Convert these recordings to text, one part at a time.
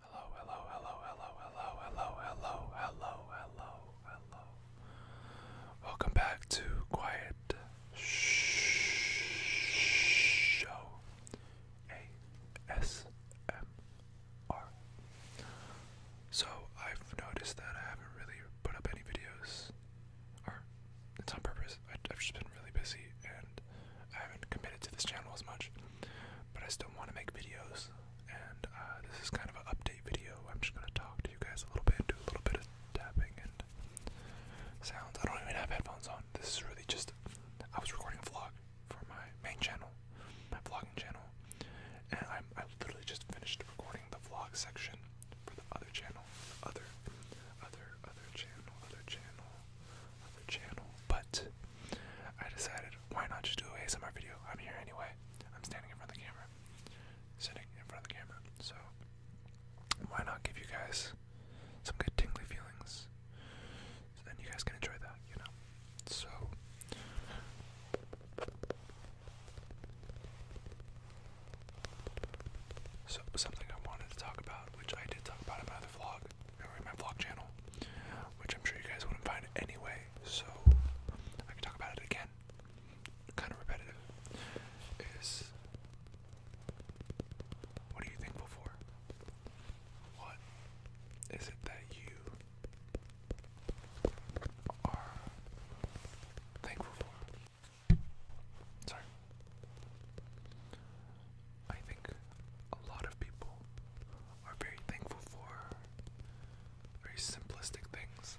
Hello, hello, hello, hello, hello, hello, hello, hello, hello, hello. Welcome back to Quiet Show ASMR. So, I've noticed that I haven't really put up any videos, or it's on purpose. I, I've just been really busy, and I haven't committed to this channel as much, but I still want to make videos. And uh, this is kind of an update video. I'm just gonna talk to you guys a little bit, do a little bit of tapping and sounds. I don't even have headphones on. This is really just I was recording a vlog for my main channel, my vlogging channel, and I I literally just finished recording the vlog section for the other channel, the other other other channel, other channel, other channel. But I decided, why not just do a ASMR video? I'm here anyway. I'm standing in front of the camera, sitting in front of the camera. So why not give you guys some good tingly feelings? So then you guys can enjoy that, you know. So. So something I wanted to talk about, which I did talk about in my other vlog, or my vlog channel, which I'm sure you guys wouldn't find anyway. So I can talk about it again. Kind of repetitive. Is what are you thankful for? What is it that you are thankful for? Sorry. I think a lot of people are very thankful for very simplistic things.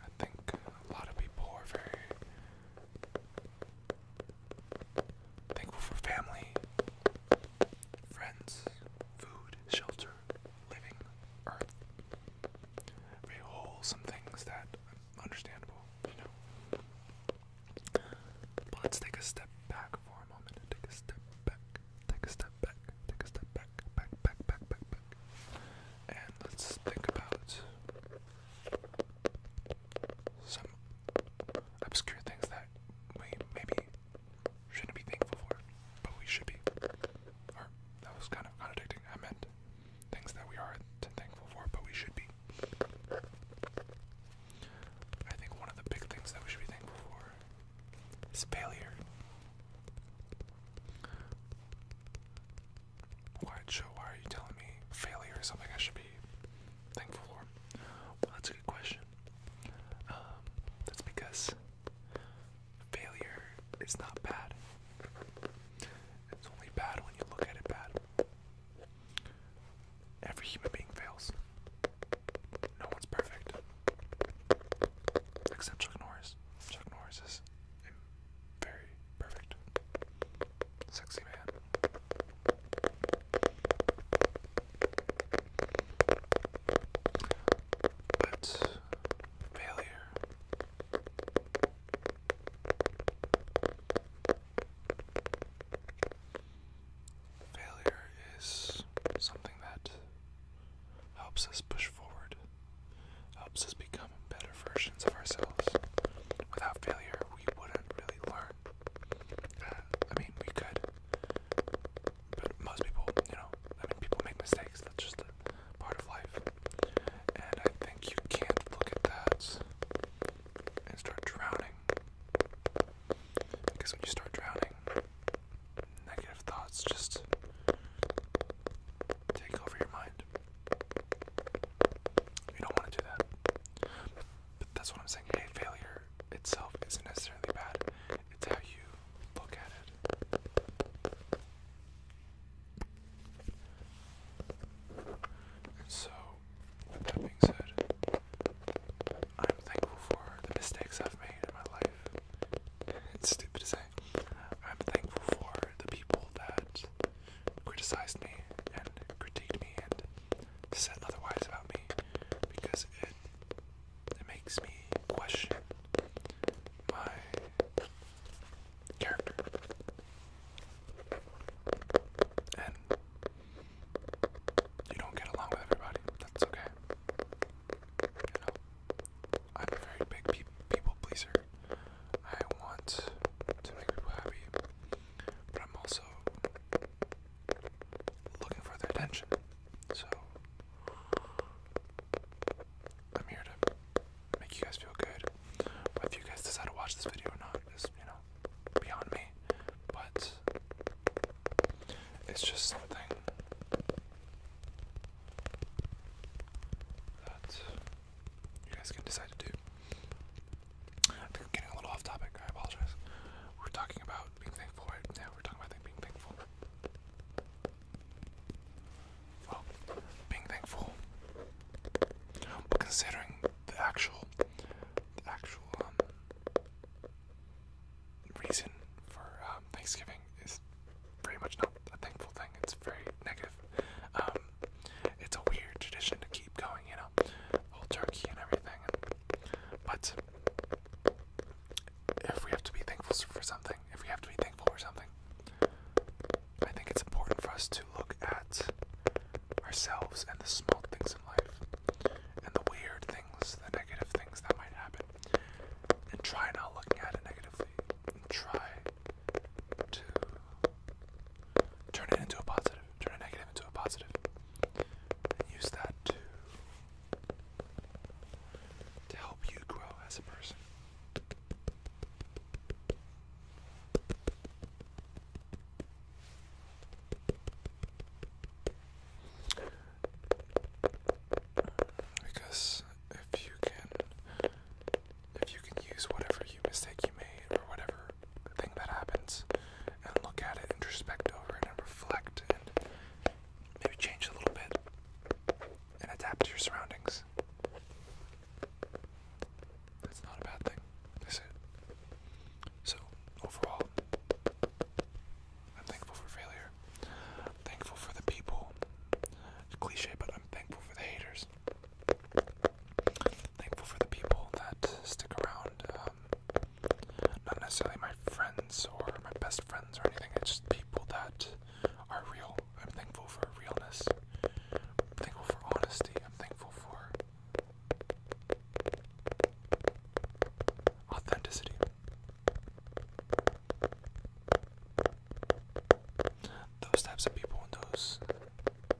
I think a lot of people are very thankful for family, friends, food, shelter, living, earth very wholesome things that understandable, you know. But let's take a step back for a moment. Take a step back. Take a step back. Take a step back. Back, back, back, back, back. And let's think about some obscure things that we maybe shouldn't be thankful for, but we should be. Or that was kind of contradicting. I meant things that we are thankful for, but we should be. I think one of the big things that we should be thankful for is failure. Why, Joe, why are you telling me failure is something I should be thankful for? Well, that's a good question. Um, that's because failure is not bad. It's only bad when you look at it bad. Every human being fails. No one's perfect. Except Chuck Norris. Chuck Norris is a very perfect, sexy man. But failure. Failure is something that helps us push forward, helps us become better versions of ourselves. Without failure, we wouldn't really learn. Uh, I mean, we could, but most people, you know, I mean, people make mistakes. That's just part of life. And I think you can't look at that and start drowning. Because when you start drowning, negative thoughts just take over your mind. You don't want to do that. But that's what I'm saying. Hate failure itself isn't necessarily bad. It's how you look at it. And so, that being said, I'm thankful for the mistakes I've made in my life. It's stupid to say. I'm thankful for the people that criticized me and critiqued me and said otherwise about me because it it makes me question my character. And you don't get along with everybody. That's okay. You know, I'm a very big people pleaser. I want to make people happy, but I'm also looking for their attention. So I'm here to make you guys feel good. But if you guys decide to watch this video or not is, you know, beyond me. But it's just something that you guys can decide to do. I'm getting a little off topic, I apologize. We're talking about being thankful, Yeah, we're talking about being thankful. Well, being thankful, considering the actual, actual um, reason for um, Thanksgiving is very much not a thankful thing. It's very negative. Um, it's a weird tradition to keep going, you know, whole turkey and everything. but if we have to be thankful for something, if we have to be thankful for something, I think it's important for us to look at ourselves and the small things in life and the weird things, the negative things that might happen, and try not looking at it negatively and try to turn it into a positive, turn a negative into a positive, and use that to to help you grow as a person. Because if you can if you can use whatever you mistake you made or whatever thing that happens and look at it, introspect over it and reflect and Maybe change a little bit and adapt to your surroundings. That's not a bad thing, is it? So, overall, I'm thankful for failure. thankful for the people. cliche, but I'm thankful for the haters. Thankful for the people that stick around. Uh, not necessarily my friends or my best friends or anything. It's just people that are real. I'm thankful for realness. I'm thankful for honesty. I'm thankful for authenticity. Those types of people and those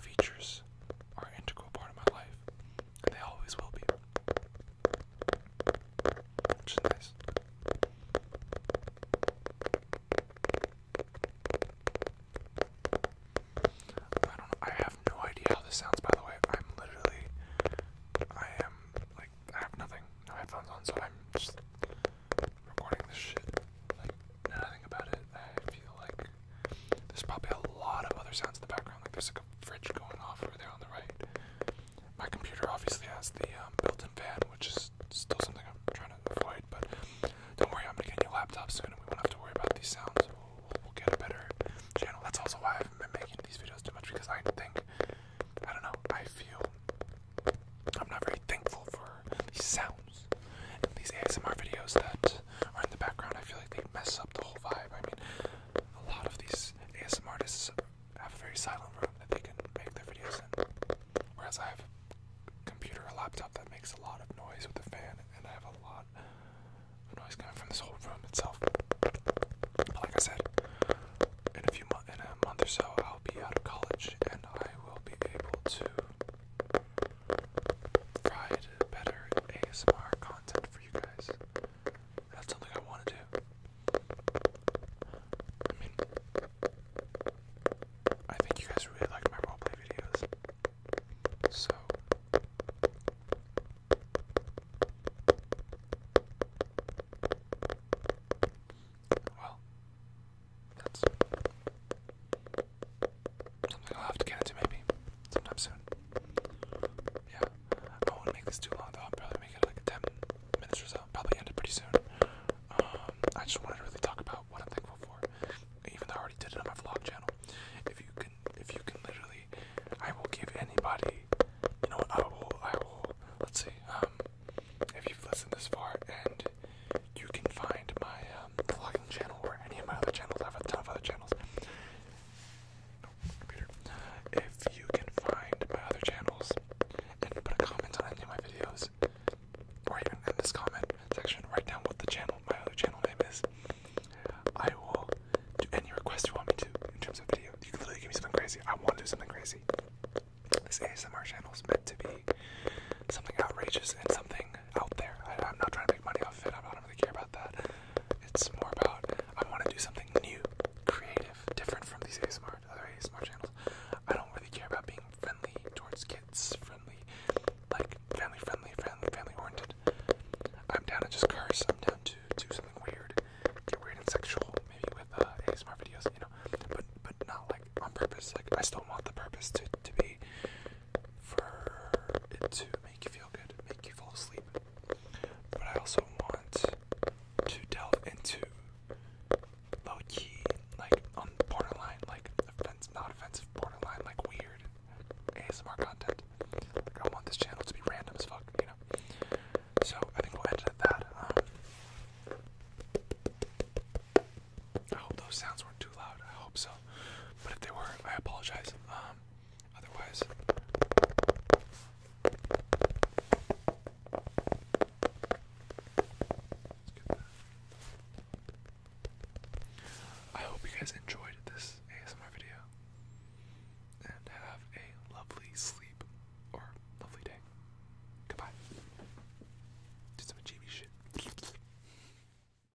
features are an integral part of my life they always will be. Which is nice. I don't I have no idea how this sounds, by the way. I'm literally. I am. Like, I have nothing. No headphones on, so I'm just recording this shit. Like, nothing about it. I feel like. There's probably a lot of other sounds in the background. Like, there's fridge going off over there on the right. My computer obviously has the um, built-in fan, which is still something I'm trying to avoid. But don't worry, I'm gonna get a new laptop soon, and we won't have to worry about these sounds. We'll, get a better channel. That's also why I haven't been making these videos too much because I think I don't know. I feel I'm not very thankful for these sounds these ASMR videos that are in the background. I feel like they mess up the whole vibe. I mean, a lot of these ASMR artists have a very silent room that they can make their videos in. Whereas I have a computer or laptop that makes a lot of noise with the fan, and I have a lot of noise coming from this whole room itself. But like I said, in a few in a month or so, I'll be out of college, and I will be able to provide better ASMR content for you guys. That's something I want to do. I mean, I think you guys really liked my roleplay videos. So, well, that's something I'll have to get into maybe sometime soon. Yeah, I won't make this too long though. I'll probably make it like 10 minutes or so. Probably end it pretty soon. Um, I just wanted to really talk about what I'm thankful for, even though I already did it on my vlog channel. If you can, if you can literally, I will give anybody. You know what? I will. I will. Let's see. Um, if you've listened this far, and you can find my um, vlogging channel or any of my other channels. I have a ton of other channels. If you can find my other channels and put a comment on any of my videos, or even in this comment section, write down what the channel, my other channel name is. I will do any request you want me to in terms of video. You can literally give me something crazy. I want to do something crazy. This ASMR channel is meant to be something outrageous and something out there. I, am not trying to make money off of it. I don't really care about that. It's more about I want to do something new, creative, different from these ASMR, other ASMR channels. I don't really care about being friendly towards kids, friendly, like family friendly, family oriented. I'm down to just curse. I'm down to do something weird, get weird and sexual, maybe with uh, ASMR videos, you know. But but not like on purpose. Like I still want the purpose to to be for it to make you feel good, make you fall asleep. But I also want to delve into low key, like on borderline, like offense, not offensive, borderline, like weird ASMR content. I want this channel to be random as fuck, you know. So I think we'll end at that. Um, I hope those sounds weren't too loud. I hope so, but if they were, I apologize. Um, Otherwise, I hope you guys enjoyed this ASMR video and have a lovely sleep or lovely day. Goodbye. Do some achieving shit.